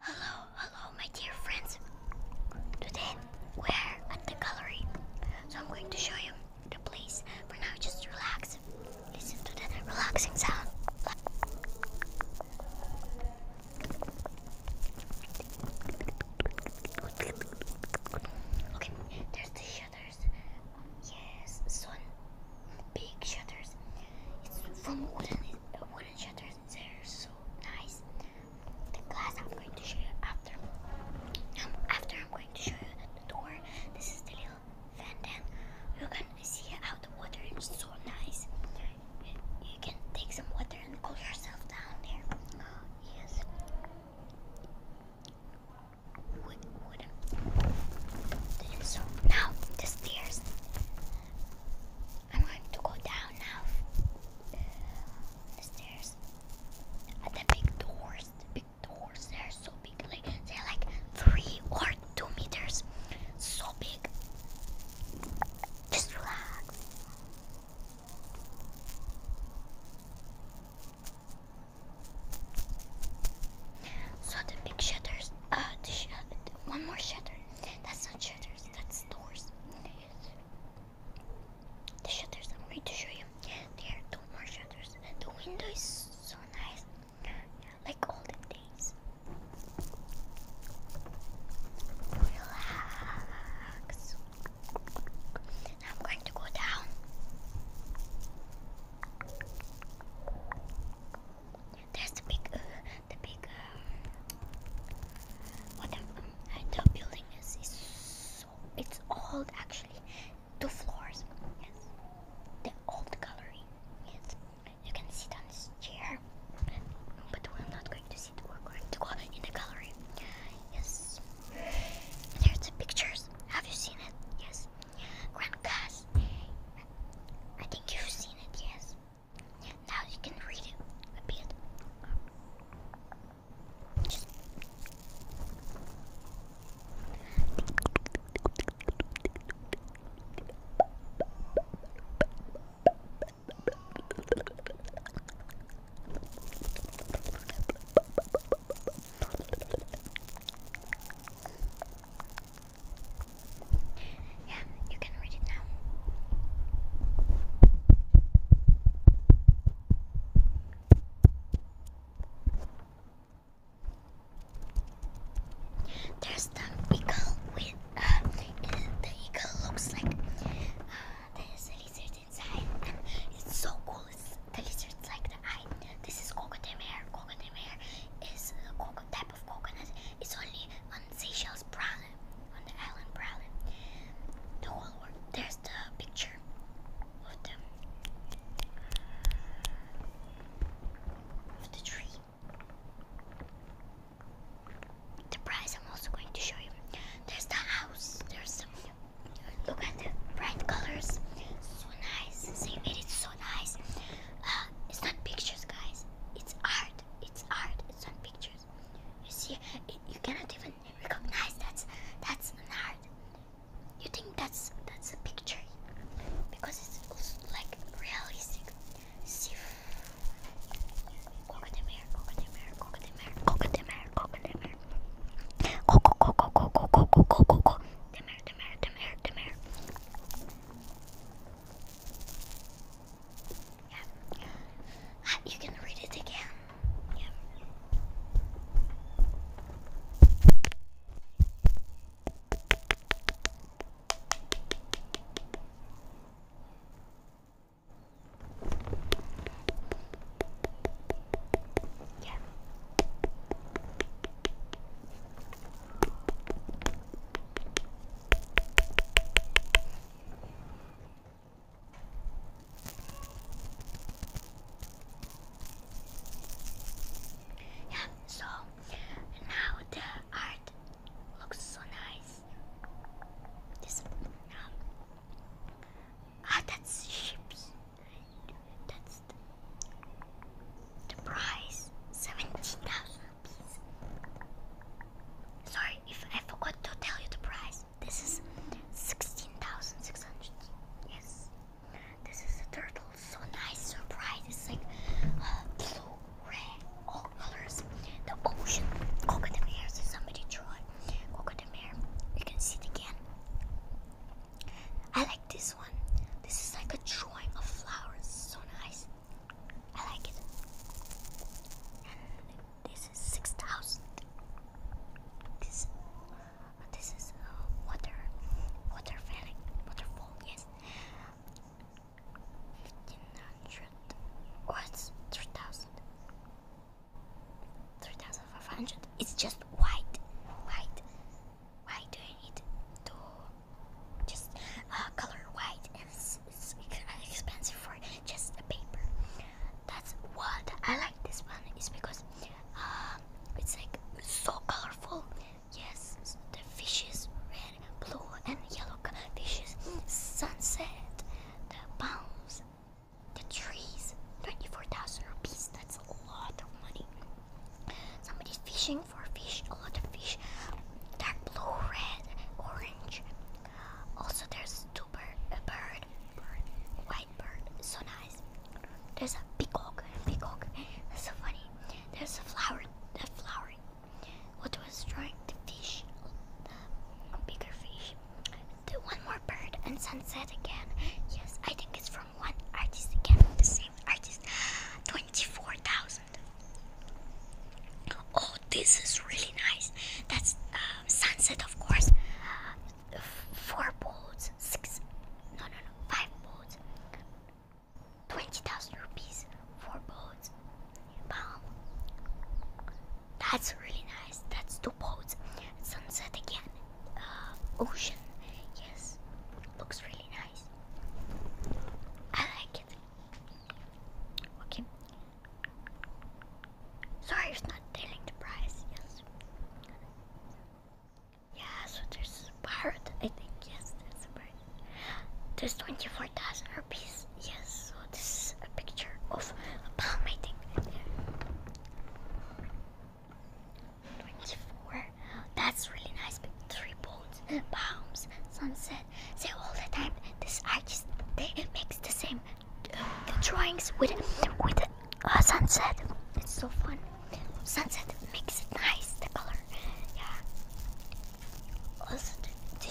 Hello, hello, my dear friends. Today we're at the gallery, so I'm going to show you the place. For now, just relaxing. Listen to the relaxing sound. Okay, there's the shutters. Yes, some big shutters. It's from wooden, wooden shutters they're so nice. The glass I'm going to show you after. Um, after I'm going to show you the door. This is the little fountain. You can see how the water is so nice. You, can take some water and cool yourself down there. Yes. So now the stairs. I'm going to go down now. The stairs. At the big doors. The big doors. They're so big. Like they're like three or two meters. So big. Just relax. So the big shutters. Uh, the sh one more shutter. That's not shutter shutters. That's doors. The shutters. I'm going to show you. There are two more shutters. the window is so nice. Like olden days. Relax. I'm going to go down. There's a big uh, the big um, the building is. it's old actually, two floors. Yes, the old gallery. Yes, you can sit on this chair, but we're not going to sit. We're going to go in the gallery. Yes, there's the pictures. Have you seen it? Yes, Grand Cast. I think you've seen it. Yes. Now you can read it. Yeah, you can read There's the eagle with uh, the eagle looks like uh, there's a lizard inside it's so cool. It's the lizard's like the eye. This is coconut hair. Coconut hair is a coco type of coconut. It's only on Seychelles brand on the island Prowley. The whole There's the picture of the of the tree. The price I'm also going to show you. There's the house. There's some. Look at the bright colors. So nice. See, it is so nice. Uh, it's not pictures, guys. It's art. It's art. It's on pictures. You see, you cannot even recognize that's that's an art. You think that's that's a picture because it's like realistic. See, cocotemere, cocotemere, cocotemere, cocotemere, cocotemere, coco, coco, coco, coco, coco, coco, demere, demere, demere, demere. Yeah. Uh, you can read it again. Yeah. Yeah so now the art looks so nice. This um, ah, that's ships. That's the, the seventeen thousand. Sorry if I forgot to tell you the price. This is 16,600. Yes. This is a turtle. So nice surprise. It's like uh, blue, red, all colors. The ocean. Cocodamere. So somebody draw it. Cocodamere. You can see it again. I like this one. This is like a drawing of flowers. So nice. I like it. this is six thousand. This, this is uh, water, water falling, waterfall. Yes, fifteen hundred. Or it's three thousand. Three thousand five hundred. It's just white, white. Why do I need to just uh, color white and it's expensive for just a paper. That's what I like this one is because um, it's like so colorful. Yes, the fishes, red, blue, and yellow fishes. Sunset, the palms, the trees. Ninety-four thousand rupees. That's a lot of money. Somebody's fishing for fish. A lot of fish. Dark blue, red, orange. Also, there's two bird, a bird, bird, white bird, so nice. There's a peacock, peacock, that's so funny. There's a flower, a flowering, what was drawing the fish, bigger fish. one more bird and sunset again. Yes, I think it's from one artist again, the same artist. Twenty-four thousand. Oh, this is really nice. That's um, sunset, of course. Uh, four boats, six, no, no, no, five boats. 20,000 rupees for boats in That's really nice. That's two boats. Sunset again. Uh, ocean. Yes. Looks really nice. I like it. Okay. Sorry, it's not telling the price. Yes. Yeah, so there's a pirate, I think. Yes, there's a pirate. There's 24,000 rupees. Yes, so this is a picture of a palm, meeting. 24. That's really nice. Three boats, palms, sunset and say all the time this artist they makes the same the drawings with with uh, sunset. It's so fun. Sunset makes it nice the color. Yeah. Also the,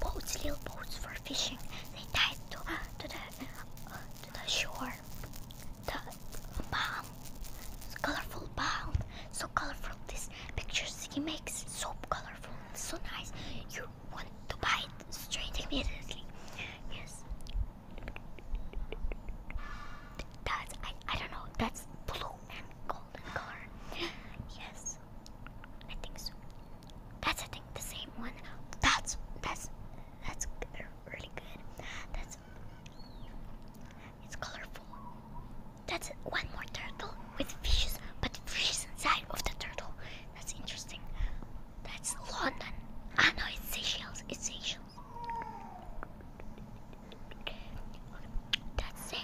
boats, little boats for fishing. They tied to uh, to the uh, the shore. The palm, colorful palm, so colorful. These pictures he makes so colorful so nice. You want to buy it straight immediately. Yes. That's I, I don't know. That's blue and golden color. Yes. I think so. That's I think the same one. That's that's that's really good. That's it's colorful. That's one more turtle with fishes, but fishes inside of the turtle. That's interesting. That's London. I ah, know it's Seychelles. It's Seychelles. That's The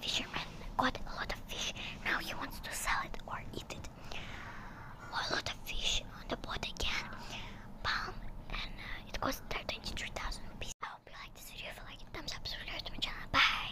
fisherman got a lot of fish. Now he wants to sell it or eat it. A lot of fish on the boat again. Palm, and uh, it costs 33,000 pieces. I hope you like this video. like it, thumbs up, subscribe to my channel. Bye.